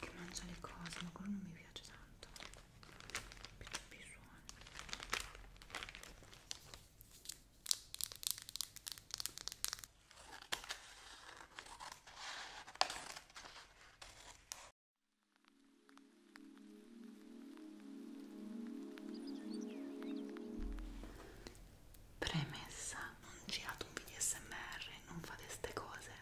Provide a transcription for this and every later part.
che mangia le cose ma quello non mi piace tanto più suoni Premessa, non girate un video smr, non fate ste cose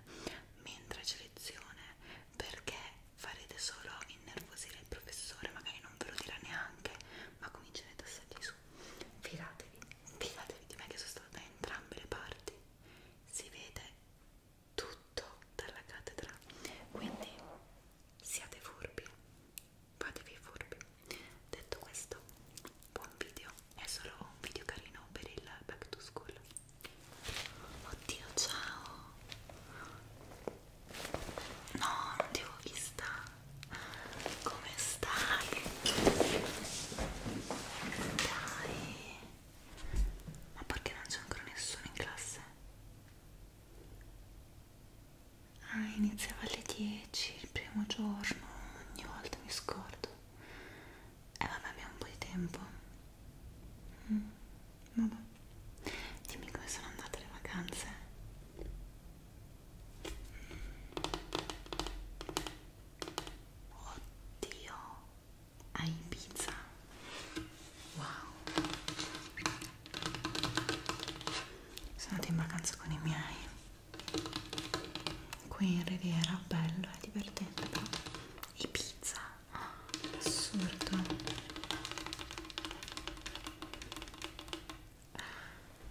mentre c'è lezione perché farete solo innervosire il professore, magari non ve lo dirà neanche, ma comincerete a salire su. Fidatevi, fidatevi di me che sono stata da entrambe le parti, si vede tutto dalla cattedra, quindi siate furbi, fatevi furbi. Detto questo, buon video, è solo un video carino per il back to school. Oddio, ciao! No, non ti avevo vista. Come stai? Dai! Ma perché non c'è ancora nessuno in classe? ah, iniziava alle 10 il primo giorno ogni volta mi scordo e eh, vabbè abbiamo un po' di tempo mm, vabbè dimmi come sono andate le vacanze oddio a Ibiza wow sono andata in vacanza con i miei qui in riviera bello è divertente però e pizza oh, assurdo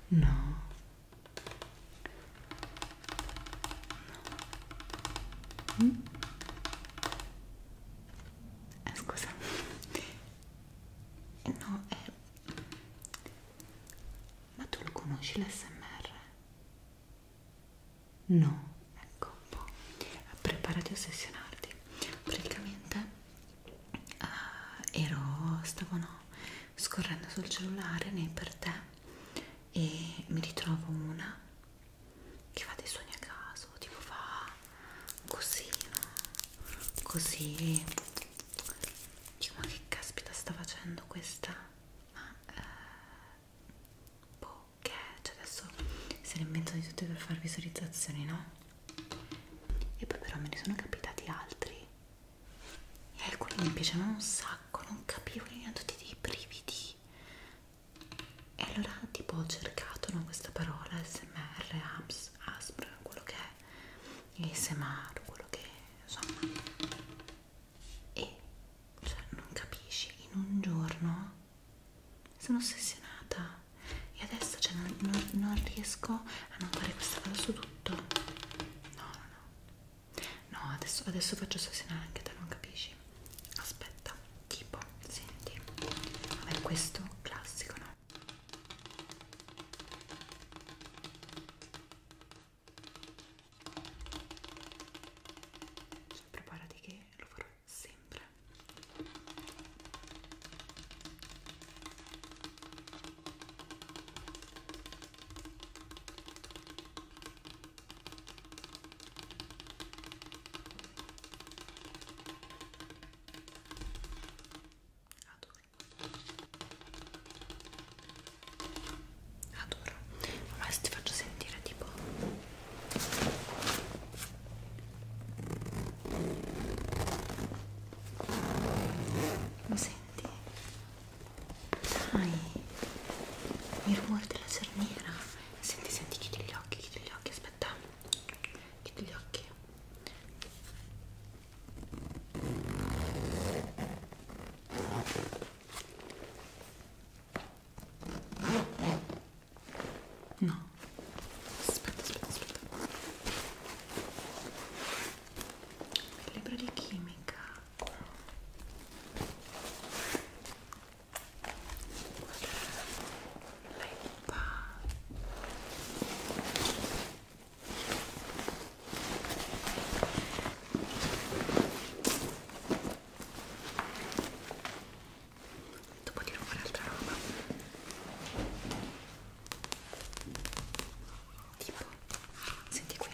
no, no. Mm? Eh, scusa no è ma tu lo conosci l'SMR? No, ecco un boh. po'. Preparati a ossessionarti. Praticamente uh, ero, stavo no, scorrendo sul cellulare nei per te e mi ritrovo una che fa dei sogni a caso, tipo fa così, no? Così dico ma che caspita sta facendo questa? Ma eh, boh, che è? Cioè adesso se ne inventano di tutte per fare visualizzazioni, no? E poi però me ne sono capitati altri e alcuni mi piacevano un sacco, non capivo erano tutti dei brividi e allora tipo ho cercato no, questa parola smr, apps, asp, per quello che è il semaro, quello che insomma e cioè, non capisci in un giorno sono ossessionata e adesso cioè, non, non, non riesco a non fare questa cosa su tutto no no no no adesso, adesso faccio ossessionare anche te non capisci aspetta tipo senti vabbè questo classico no cioè, preparati che lo farò sempre adoro adoro ma se ti faccio sentire tipo lo senti? dai il rumore della cerniera senti senti chiudi gli occhi chiudi gli occhi aspetta chiudi gli occhi No, aspetta, aspetta, aspetta. Il libro di chimica. Guarda lenta dopo di nuovo l'altra roba tipo senti qui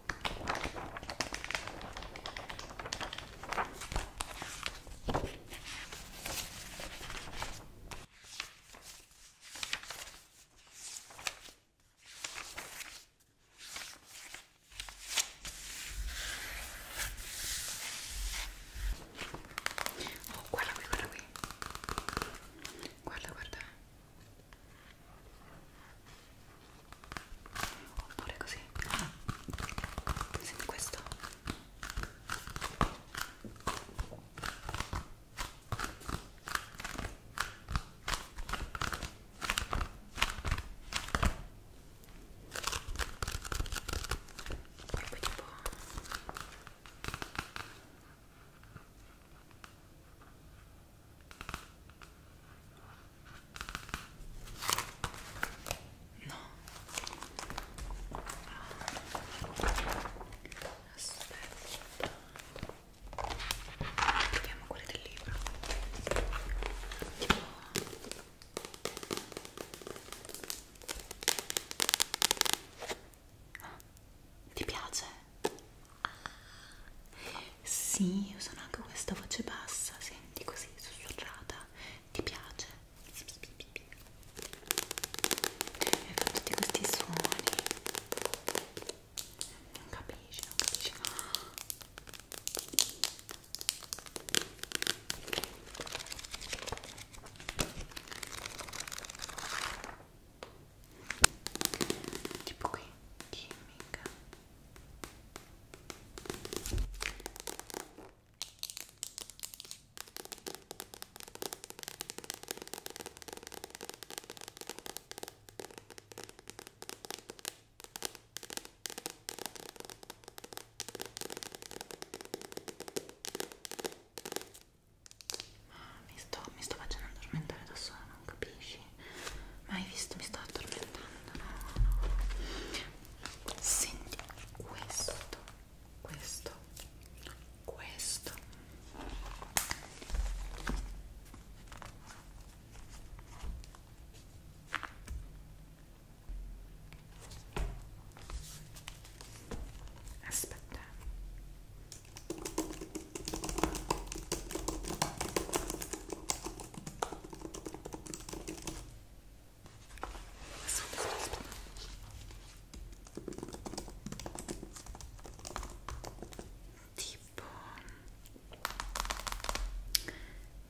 Oh, guarda qui, guarda qui. Guarda, guarda. oppure così senti questo proprio tipo No. Aspetta. Vediamo quelle del libro. Tipo... Ah, ti piace? Ah, sì, usano anche questa voce bassa, senti così, sussurrata. Ti piace? E fa tutti questi suoni. Non capisci, non capisci tipo qui chimica ah, ma mi sto, mi sto facendo addormentare da sola, non capisci? oggi ma hai visto mi sto addormentando no, no. senti questo questo questo aspetta Aspetta, aspetta. Tipo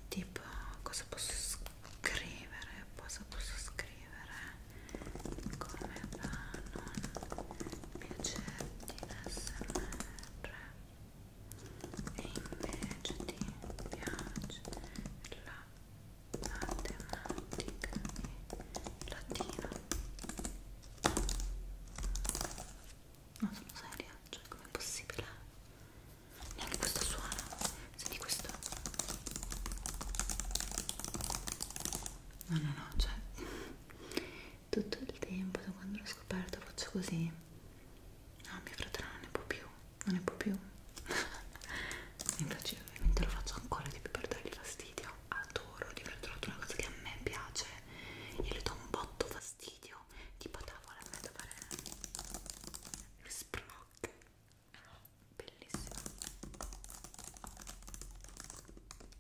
Tipo cosa posso scrivere? Cosa posso scrivere? Come va? Non piacerti l'SMR e invece ti piace la matematica e latino non sono seria, cioè com'è possibile? neanche questo suono senti questo? no no no, cioè tutto il tempo da quando l'ho scoperto faccio così no mio fratello non ne può più non ne può più infatti ovviamente lo faccio ancora di più per dargli fastidio adoro di fratello una cosa che a me piace e le do un botto fastidio tipo tavola a me da fare sproc bellissimo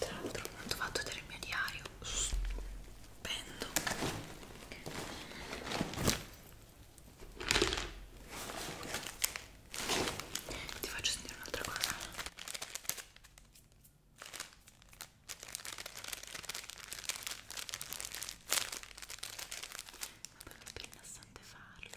tra l'altro non ti ho fatto vedere il mio diario stupendo ti faccio sentire un'altra cosa ma poi è rilassante farlo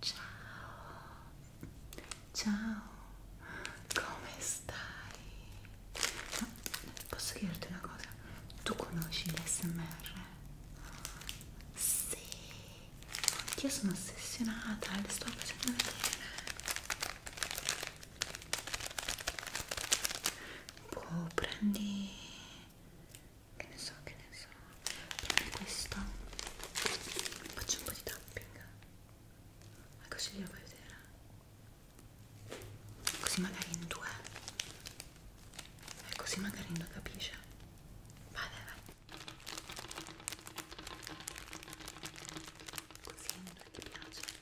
Ciao, ciao, come stai? Ma posso chiederti una cosa? Tu conosci l'SMR? Sì, oddio sono ossessionata, le sto facendo vedere. Boh, prendi che ne so, che ne so. Prendi questo. Faccio un po' di tapping. Ma così glielo puoi vedere. Così magari in due. E ecco, così magari in due capisce. Vai, vai, vai. Così in due ti piace.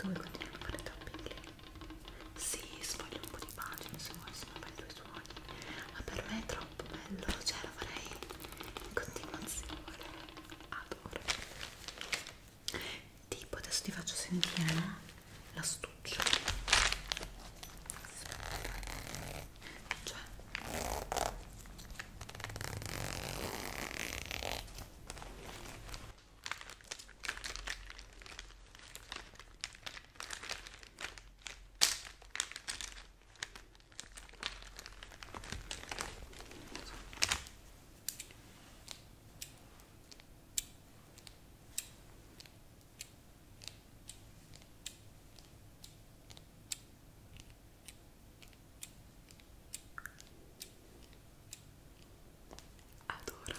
Dove continuano a fare tappelli? Sì, sfoglio un po' di pagine se vuoi, se non fai due suoni. Ma per me è troppo bello, cioè lo farei in continuazione. Adoro tipo adesso ti faccio sentire no? l'astuccio cioè Adoro Aspetta.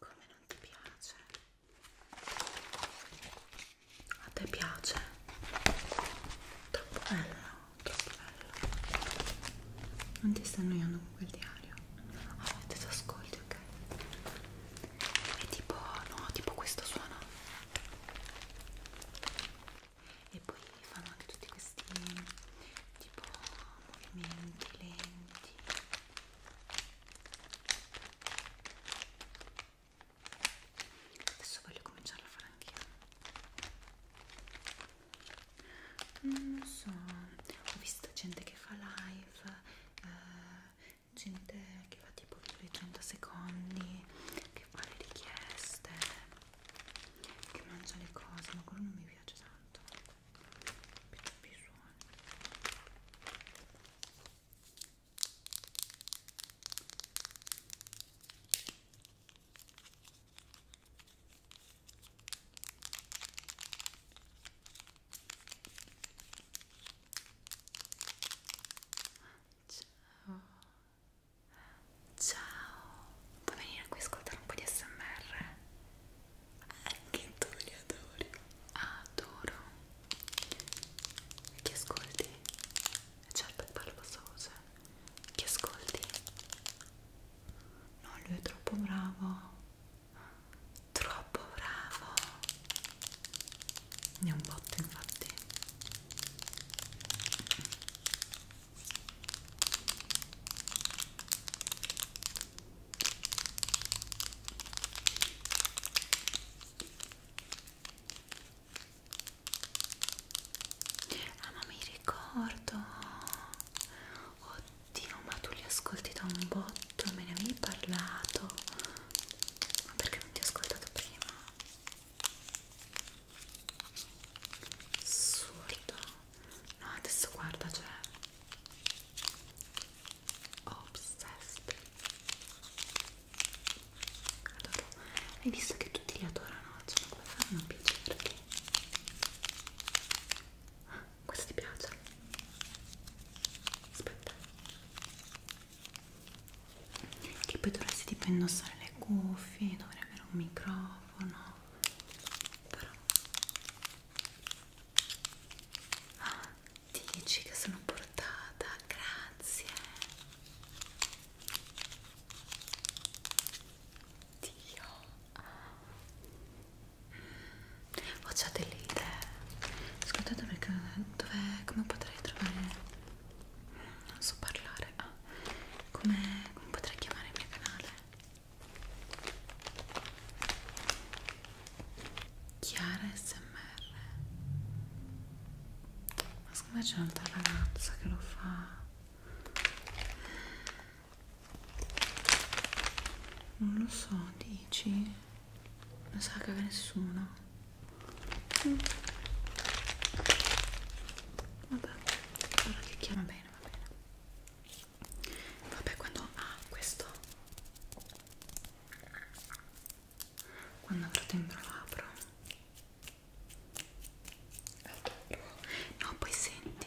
Come non ti piace? A te piace? Troppo bello, troppo bello. Non ti sta annoiando con quel diario? Ah, oh, ti ascolti, ok? E tipo, no, tipo questo suono. E poi fanno anche tutti questi tipo movimenti lenti adesso voglio cominciare a fare anch'io mm, non so ho visto gente che fa live eh, gente che fa tipo video 100 secondi che fa le richieste che mangia le cose ma quello non mi piace tanto più suoni ciao ciao puoi venire qui a ascoltare un po' di smr? Anche tu li adori. Adoro. Chi ascolti? Certo che parlo questa voce. Chi ascolti? No, lui è troppo bravo. Troppo bravo. Ne è un botto infatti. Ah ma mi ricordo Oddio ma tu li ascolti da un botto Me ne avevi parlato Ma perché non ti ho ascoltato prima? Assurdo no adesso guarda cioè obsessed adoro hai visto che tutti li adorano cioè come fanno a piacerti ah, questo ti piace aspetta che poi dovresti tipo indossare le cuffie dovrei avere un microfono però ah, dici che sono portata grazie Dio mm, ho oh, già delle idee ascoltate perché dov'è come potrei trovare non so parlare ah, come, come potrei chiamare il mio canale Chiara SMR ma secondo me c'è un'altra ragazza che lo fa non lo so dici non sa che nessuno mm. vabbè allora che chiama bene va bene vabbè quando ah questo quando avrò dentro l'apro no poi senti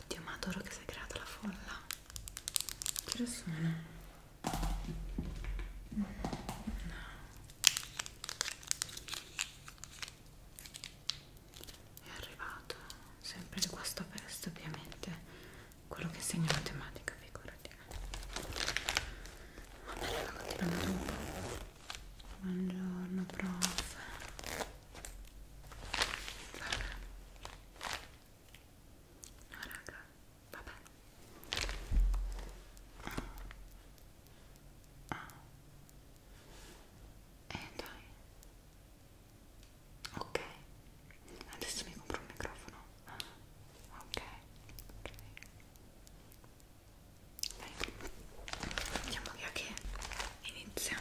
Oddio, ma adoro che si è creata la folla. Che sono? No è arrivato sempre di questo peste ovviamente quello che segna matematica figurati vabbè raga continuiamo dopo buongiorno prof vabbè no raga vabbè Ah eh dai ok adesso mi compro un microfono ok ok dai andiamo via che inizia